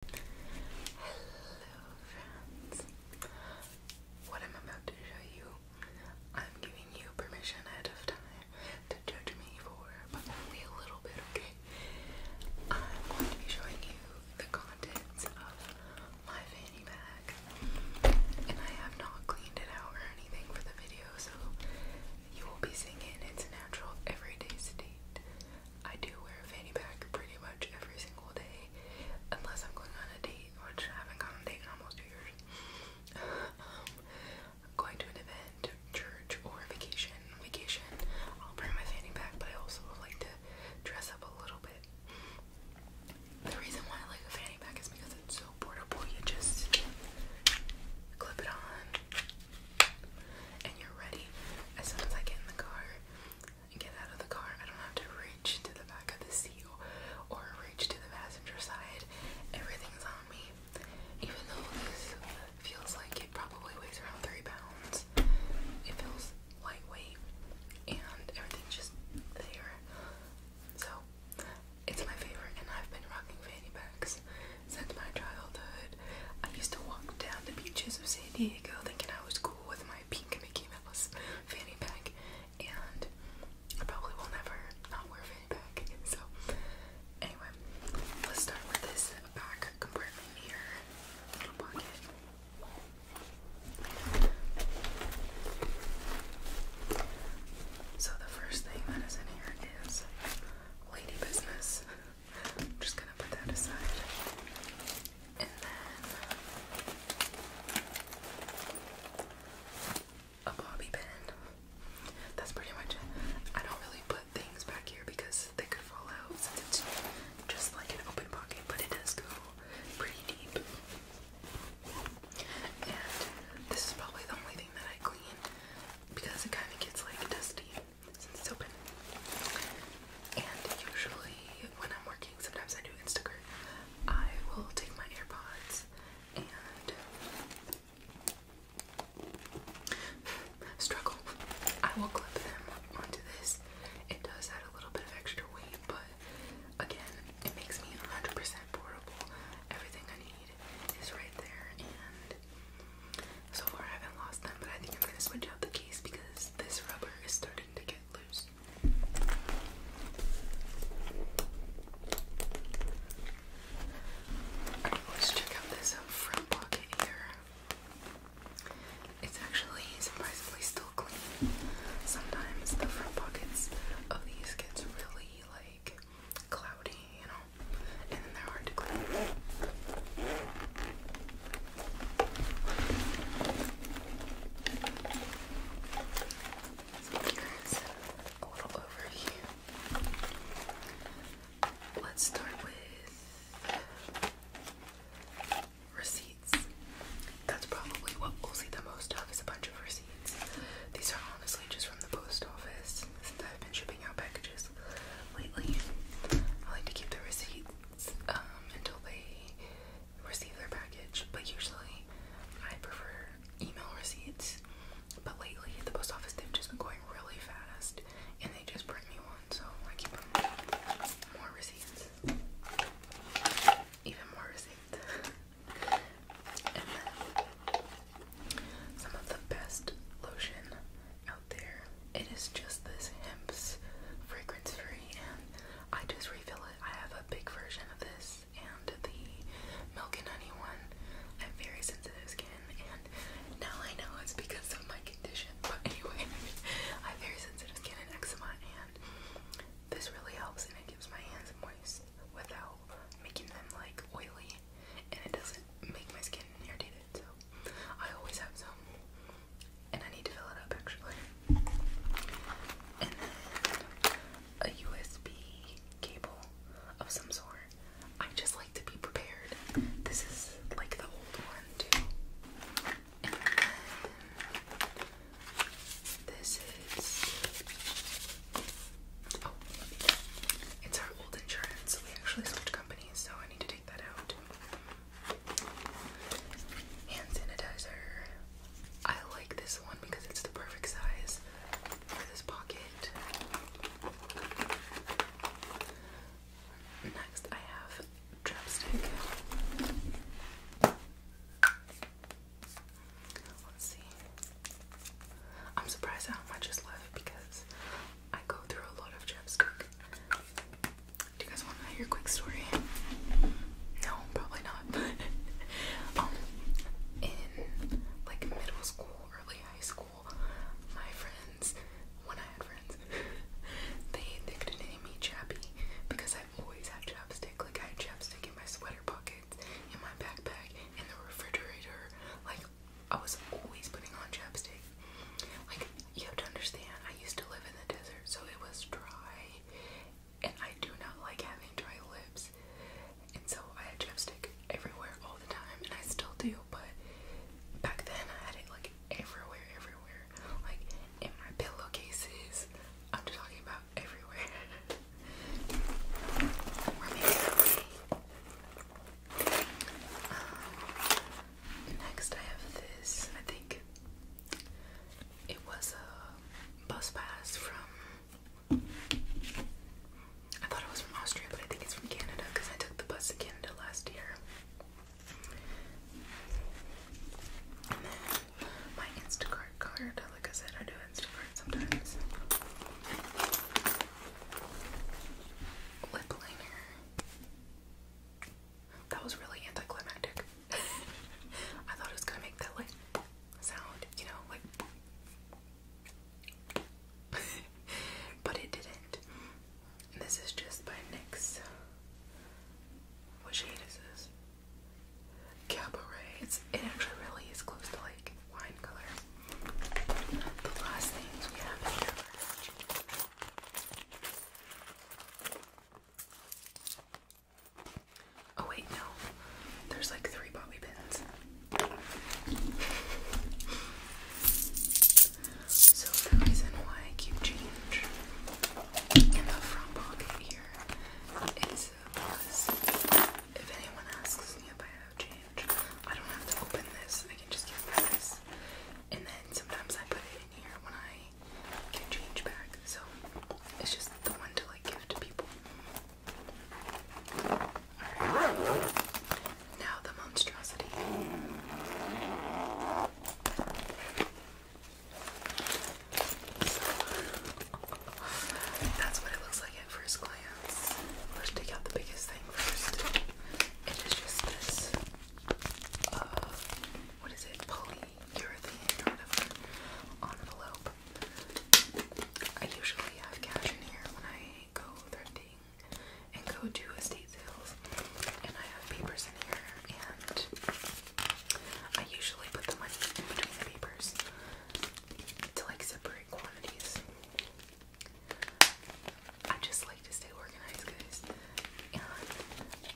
Hello friends. What I'm about to show you, I'm giving you permission ahead of time to judge me for, but only a little bit, okay? I'm going to be showing you the contents of my fanny bag. And I have not cleaned it out or anything for the video, so you will be seeing it in its natural everyday state. I do wear a fanny pack pretty much every single day, unless I'm going on a date, which I haven't gone on a date in almost two years. um, going to an event, church, or vacation, vacation, I'll bring my fanny pack, but I also like to dress up a little bit. The reason why I like a fanny pack is because it's so portable. You just clip it on, and you're ready. As soon as I get in the car, and get out of the car. I don't have to reach to the back of the seat or reach to the passenger side. Everything's on me. Even though this feels like it probably weighs around three pounds, it feels lightweight and everything's just there. So it's my favorite, and I've been rocking fanny packs since my childhood. I used to walk down the beaches of San Diego thinking I was cool with my pink Mickey Mouse fanny pack, and I probably will never not wear fanny pack. So, anyway, let's start with this back compartment here, little pocket. So the first thing that is in here is lady business. I'm just gonna put that aside. And then a bobby pin. That's pretty much it. I don't really put things back here because they could fall out since it's just like an open pocket, but it does go pretty deep. And this is probably the only thing that I clean because it kind of gets like dusty it's open. And usually when I'm working, sometimes I do Instagram. I will take my AirPods and struggle. I will clip them onto this. It does add a little bit of extra weight, but again, it makes me 100% portable. Everything I need is right there, and so far I haven't lost them, but I think I'm gonna switch out the case because this rubber is starting to get loose. let's check out this front pocket here. It's actually surprisingly still clean. Sometimes the front pockets of these gets really like cloudy, you know, here's a little overview. Let's start with receipts. That's probably what we'll see the most of is a bunch of receipts. These are honestly just from the post office since I've been shipping out packages lately. I like to keep the receipts um, until they receive their package, but usually I prefer email receipts. But lately at the post office, they've just been going really fast and they just print me one, so I keep them more receipts. Even more receipts. and then some of the best lotion out there. It is just this hemp's fragrance free, and I just refill it. I have a big version of this and the milk and honey one. I am very sensitive skin, and now I know it's because of my condition. But anyway, I am very sensitive skin and eczema, and this really helps, and it gives my hands moist without making them like oily and it doesn't make my skin irritated, so I always have some. And I need to fill it up actually. And then a USB cable of some sort. I just like to be prepared. This is like the old one too. And then this is. Oh, it's our old insurance. We actually switched companies, so I need to take Hand sanitizer. I like this one because it's the perfect size for this pocket. Next, I have chapstick. Let's see. I'm surprised how much is left because I go through a lot of chapstick. Do you guys want to hear a quick story? No, probably not. Um, in like middle school, early high school, my friends, when I had friends, they they could name me Chappy because I always had chapstick. Like I had chapstick in my sweater pockets, in my backpack, in the refrigerator, like I was always putting on chapstick. Like, you have to understand, I used to live in the desert, so it was dry, and I do not like having dry lips. And so I had chapstick everywhere all the time, and I still do, but back then I had it like everywhere, everywhere. Like, in my pillowcases. I'm just talking about everywhere. Um, next, I have this. I think it was a bus pass from. I thought it was from Austria, but I think it's from Canada because I took the bus to Canada last year. my Instacart card. Like I said, I do Instacart sometimes lip liner. That was really anticlimactic. I thought it was gonna make that like sound, you know, like but it didn't. this is just by NYX. What shade is this? Cabaret. It's it actually really is close to like Oh wait, no. There's like three bobby pins. So the reason why I keep change in the front pocket here is if anyone asks me if I have change, I don't have to open this. I can just give this. And then sometimes I put it in here when I get change back. So it's just the one to like give to people. Now the monstrosity. that's what it looks like at first glance. Let's take out the biggest thing first. It is just this, uh, what is it, polyurethane or whatever envelope. I usually have cash in here when I go thrifting and go to estate sales, and I have papers in here, and I usually put the money in between the papers to like separate I just like to stay organized, guys.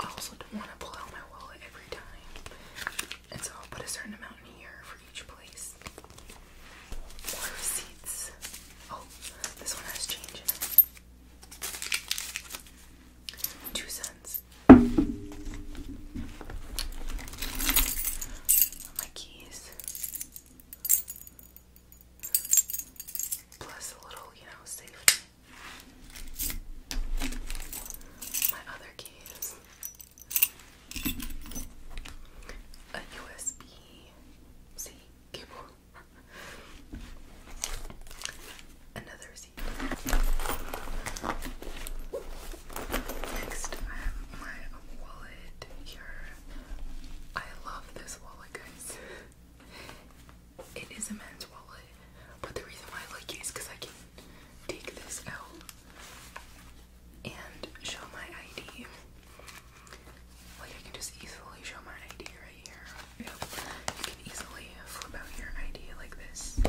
I also don't want to pull out my wallet every time. And so I'll put a certain amount here for each place. receipts. Oh, this one has change Two cents. My keys. Plus a little, you know, safety. My other keys. A USB C cable. Another C. Next, I have my wallet here. I love this wallet, guys. It is a men's wallet, but the reason why I like it is because I can take this out and show my ID. Like, I can just easily show my ID right here. You can easily flip out your ID like this.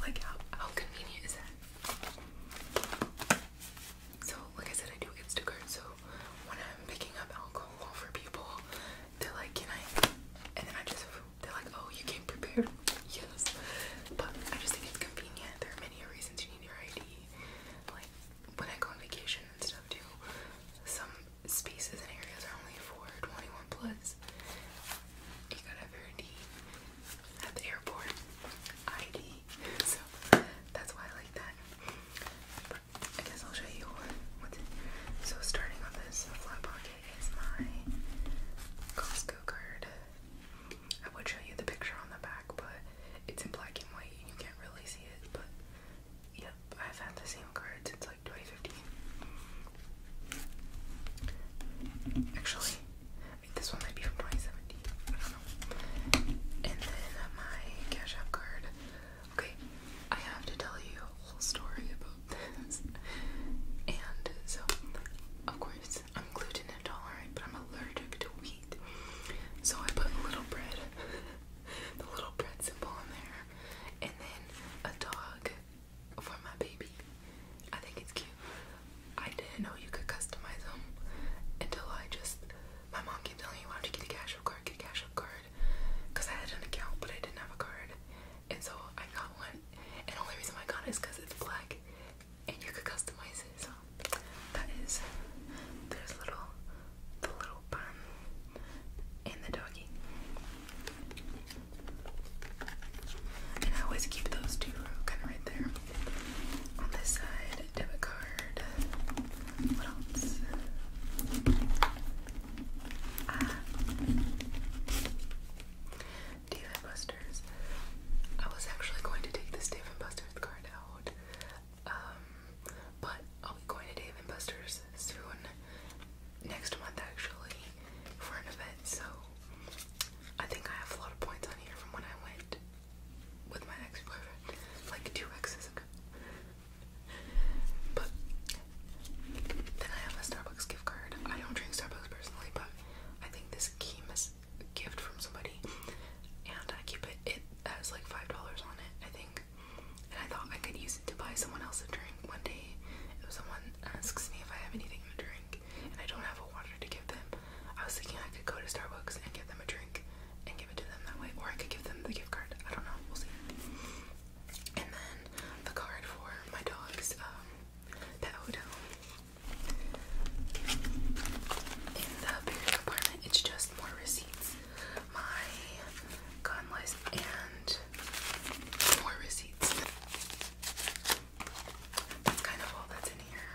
Like, how convenient is that? So, like I said, I do get stickers. So, when I'm picking up alcohol for people, they're like, Can I? And then I just, they're like, Oh, you came prepared? Yes. But I just think it's convenient. There are many reasons you need your ID. Like, when I go on vacation and stuff too, some spaces and areas are only for 21 plus. You gotta have your ID at the airport ID. So that's why I like that. I guess I'll show you what's in here. So starting on this flat pocket is my Costco card. I would show you the picture on the back, but it's in black and white and you can't really see it, but yep, I've had the same card since like 2015. Actually, this one might be from 2017. And then my Cash App card. Okay, I have to tell you a whole story about this. And so, of course, I'm gluten intolerant, but I'm allergic to wheat. So I put a little bread, the little bread symbol in there, and then a dog for my baby. I think it's cute. I didn't know you could customize them until I just. My mom kept telling me, why don't you get a cash app card? Get a cash app card. Because I had an account, but I didn't have a card. And so I got one. And the only reason I got it is because it's black and you could customize it. So that is. There's little. The little bun and the doggy. And I always keep those two kind of right there. On this side, debit card. What else? Ah. Dave and Buster's. I was actually going to take this Dave and Buster's card out, um, but I'll be going to Dave and Buster's soon, next month actually, for an event. So I think I have a lot of points on here from when I went with my ex boyfriend, like two exes ago. But then I have a Starbucks gift card. I don't drink Starbucks personally, but I think this came as a gift from somebody, and I keep it. It has like five dollars on it, I think. And I thought I could use it to buy someone else a drink one day. If someone asks me if I have anything to drink, and I don't have a water to give them, I was thinking I could go to Starbucks and get them a drink and give it to them that way, or I could give them the gift card. I don't know, we'll see. And then the card for my dog's um, In the bigger apartment, it's just more receipts. My gun list and more receipts. That's kind of all that's in here.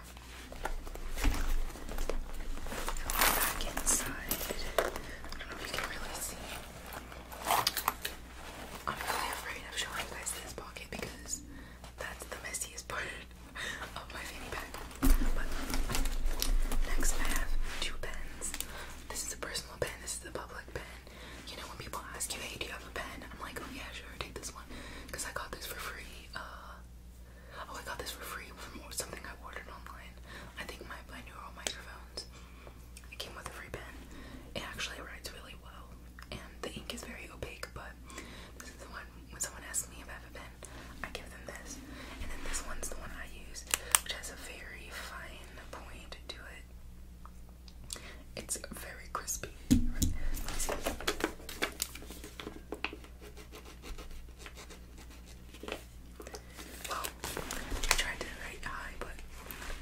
Back inside, I don't know if you can really see. I'm really afraid of showing you guys this pocket because that's the messiest part of my fanny pack. But next, I have two pens. This is a personal pen. This is a public pen. You know when people ask you, "Hey, do you have a pen?" I'm like, "Oh yeah, sure. Take this because I got this for free. Uh, oh, I got this for free from something I ordered online. I think my binaural microphones. It came with a free pen. It actually writes really well, and the ink is very opaque. But this is the one when someone asks me about a pen, I give them this, and then this one's the one I use, which has a very fine point to it. It's very crispy. Well, I tried to write high, but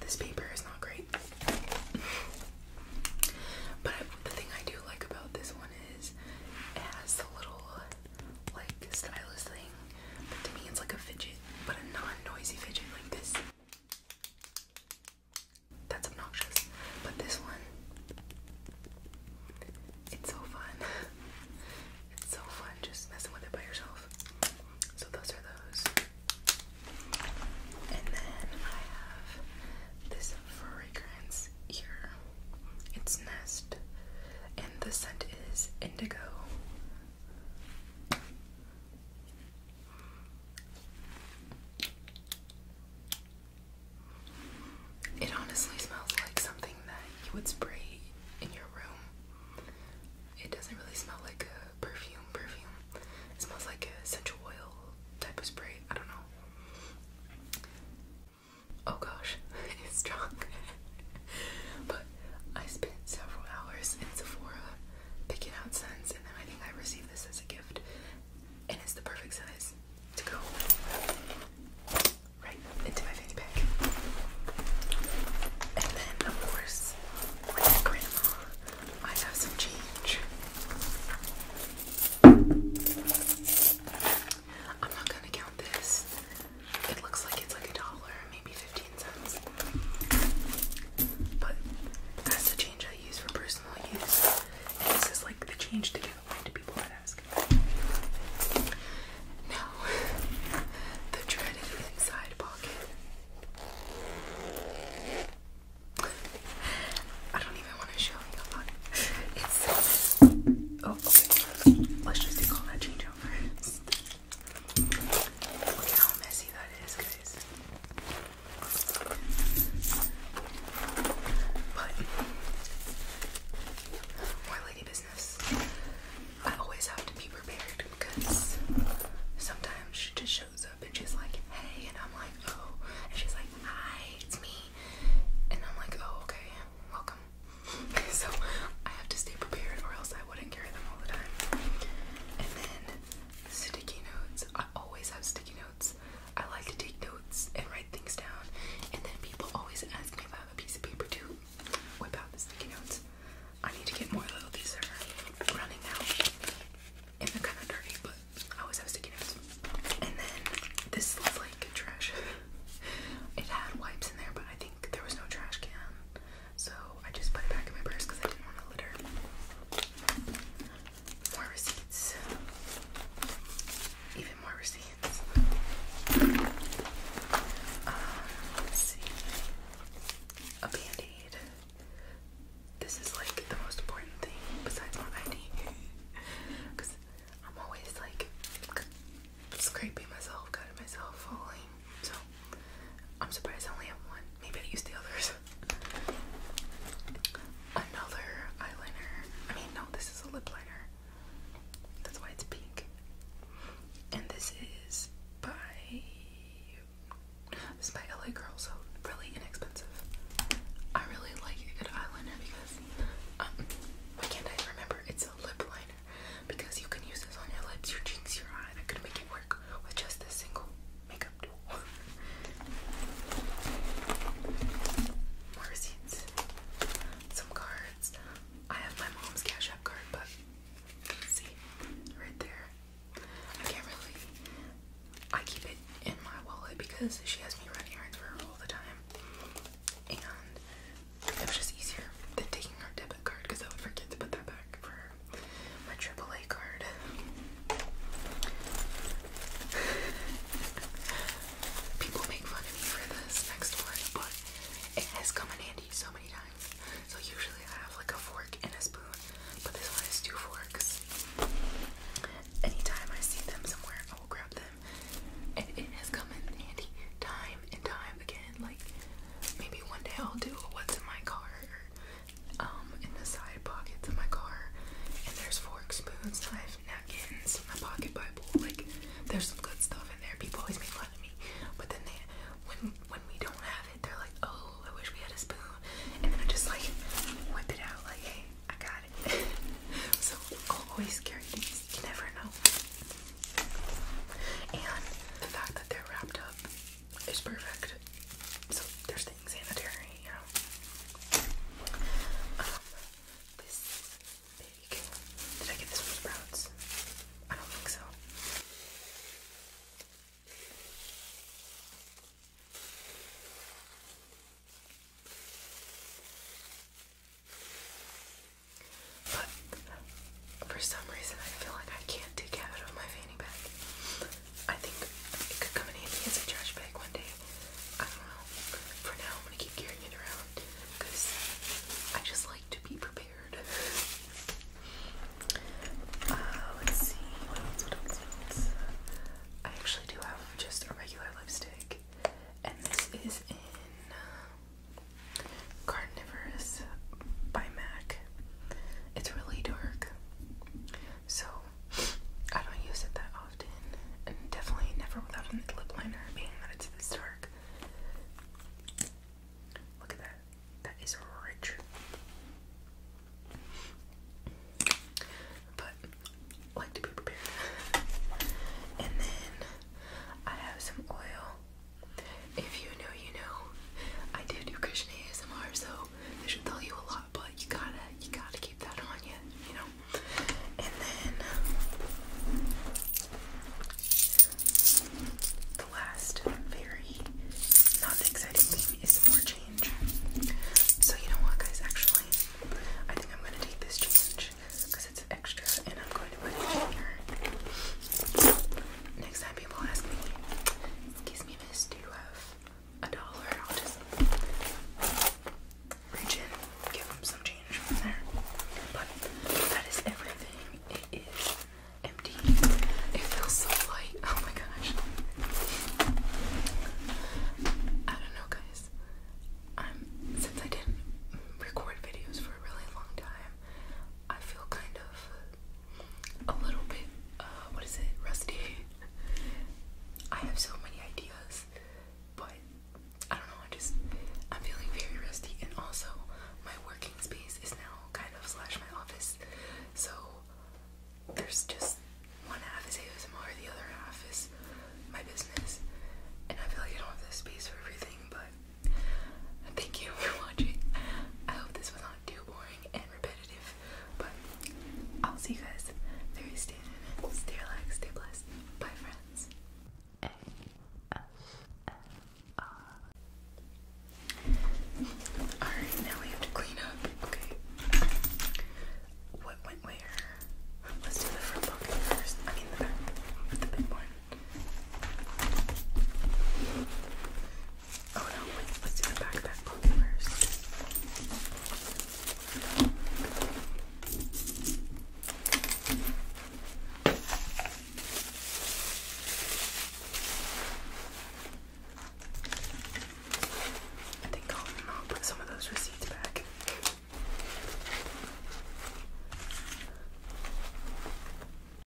this paper is not great. But the thing I do like about this one is it has a little like stylus thing. But to me, it's like a fidget, but a non-noisy fidget like this. That's obnoxious. But this one, it's so fun. it's so fun just messing with it by yourself. So those are those. And then I have this fragrance here. It's Nest. And the scent is Indigo. It honestly smells like something that you would spray in your room. It doesn't really smell like a perfume perfume. It smells like a essential oil type of spray. I don't know. Oh gosh, it's strong. but I spent several hours in Sephora picking out scents and then I think I received this as a gift, and it's the perfect size to go right into my fanny pack. And then, of course, like grandma, I have some change. I'm not gonna count this. It looks like it's like a dollar, maybe 15 cents. But that's the change I use for personal this is like the change to give away to people that ask. Now, the dreaded inside pocket. I don't even want to show you a lot. oh, okay. Let's just do all that change out Look how messy that is, guys. But more lady business. I always have to be prepared because sometimes she just shows up and she's like, hey, and I'm like, oh. And she's like, hi, it's me. And I'm like, oh, okay, welcome. so I have to stay prepared or else I wouldn't carry them all the time. And then sticky notes. I always have sticky notes. I like to take notes and write things down. And then people always ask me if I have a piece of paper too. whip out the sticky notes. I need to get more little These are running out. And they're kind of dirty, but I always have sticky notes. And then this looks like trash. it had wipes in there, but I think there was no trash can. So I just put it back in my purse because I didn't want to litter. More receipts. Even more receipts. Uh, let's see. A band This is like the most important thing besides my ID. Because I'm always like scraping myself, cutting myself, falling. I'm surprised I only have one. Maybe I used the others. Another eyeliner. I mean, no, this is a lip liner. That's why it's pink. And this is by this by LA Girl, so really inexpensive. I really like a good eyeliner because um, why can't I remember? It's a lip liner because you can use this on your lips, your cheeks, your eye. I could make it work with just this single makeup more receipts. Some cards. I have my mom's Cash App card, but see, right there. I can't really. I keep it in my wallet because she has me running errands for her all the time. And it was just easier than taking her debit card because I would forget to put that back for her my AAA card. People make fun of me for this next one, but it has come in handy so many times. So usually I have like a fork and a spoon, but this one has two forks. Anytime I see them somewhere, I will grab them. And it has come in handy time and time again. Like maybe one day I'll do what's in my car um, in the side pockets of my car. And there's forks, spoons, I have napkins, in my pocket by pool. Like, there's some good stuff in there. People always make fun of me, but then they, when when we don't have it, they're like, "Oh, I wish we had a spoon." And then I just like whip it out, like, "Hey, I got it." so always carry these. You never know. And the fact that they're wrapped up it's perfect. So there's things sanitary, you know. Um, this is Did I get this from Sprouts? I don't think so. But for some reason I feel like I can't take it out of my fanny pack. I think it could come in handy as a trash bag one day. I don't know. For now, I'm gonna keep carrying it around because I just like to be prepared. Uh, I actually do have just a regular lipstick, and this is in um, Carnivorous by MAC. It's really dark. So I don't use it that often. And definitely never without a lip liner being that it's this dark. Look at that. That is rich. But like to be prepared. And then I have some oil if you know, you know. I do do cushion ASMR, so they should tell you a lot, but you gotta, you gotta keep that on you, you know. And then the last, very not exciting thing is more change. So you know what, guys? Actually, I think I'm gonna take this change because it's extra, and I'm going to put it here. Next time people ask me, Excuse me, miss. Do you have a dollar? I'll just reach in, give him some change from there. But that is everything. It is empty. It feels so light. Oh my gosh. I don't know, guys. Um, since I didn't record videos for a really long time, I feel kind of a little bit, uh, what is it, rusty. I have so many ideas, but I don't know, I just, I'm feeling very rusty, and also my working space is now kind of slash my office, so there's just one half is a ASMR, the other half is my business, and I feel like I don't have the space for everything, but Thank you for watching. I hope this was not too boring and repetitive, but I'll see you guys very soon. Stay relaxed, stay blessed. Bye, friends. Alright, now we have to clean up. Okay. What went where? Let's do the front pocket first. I mean, the back. The big one. Oh no, wait, let's do the backpack first. I think I'll put some of those receipts back.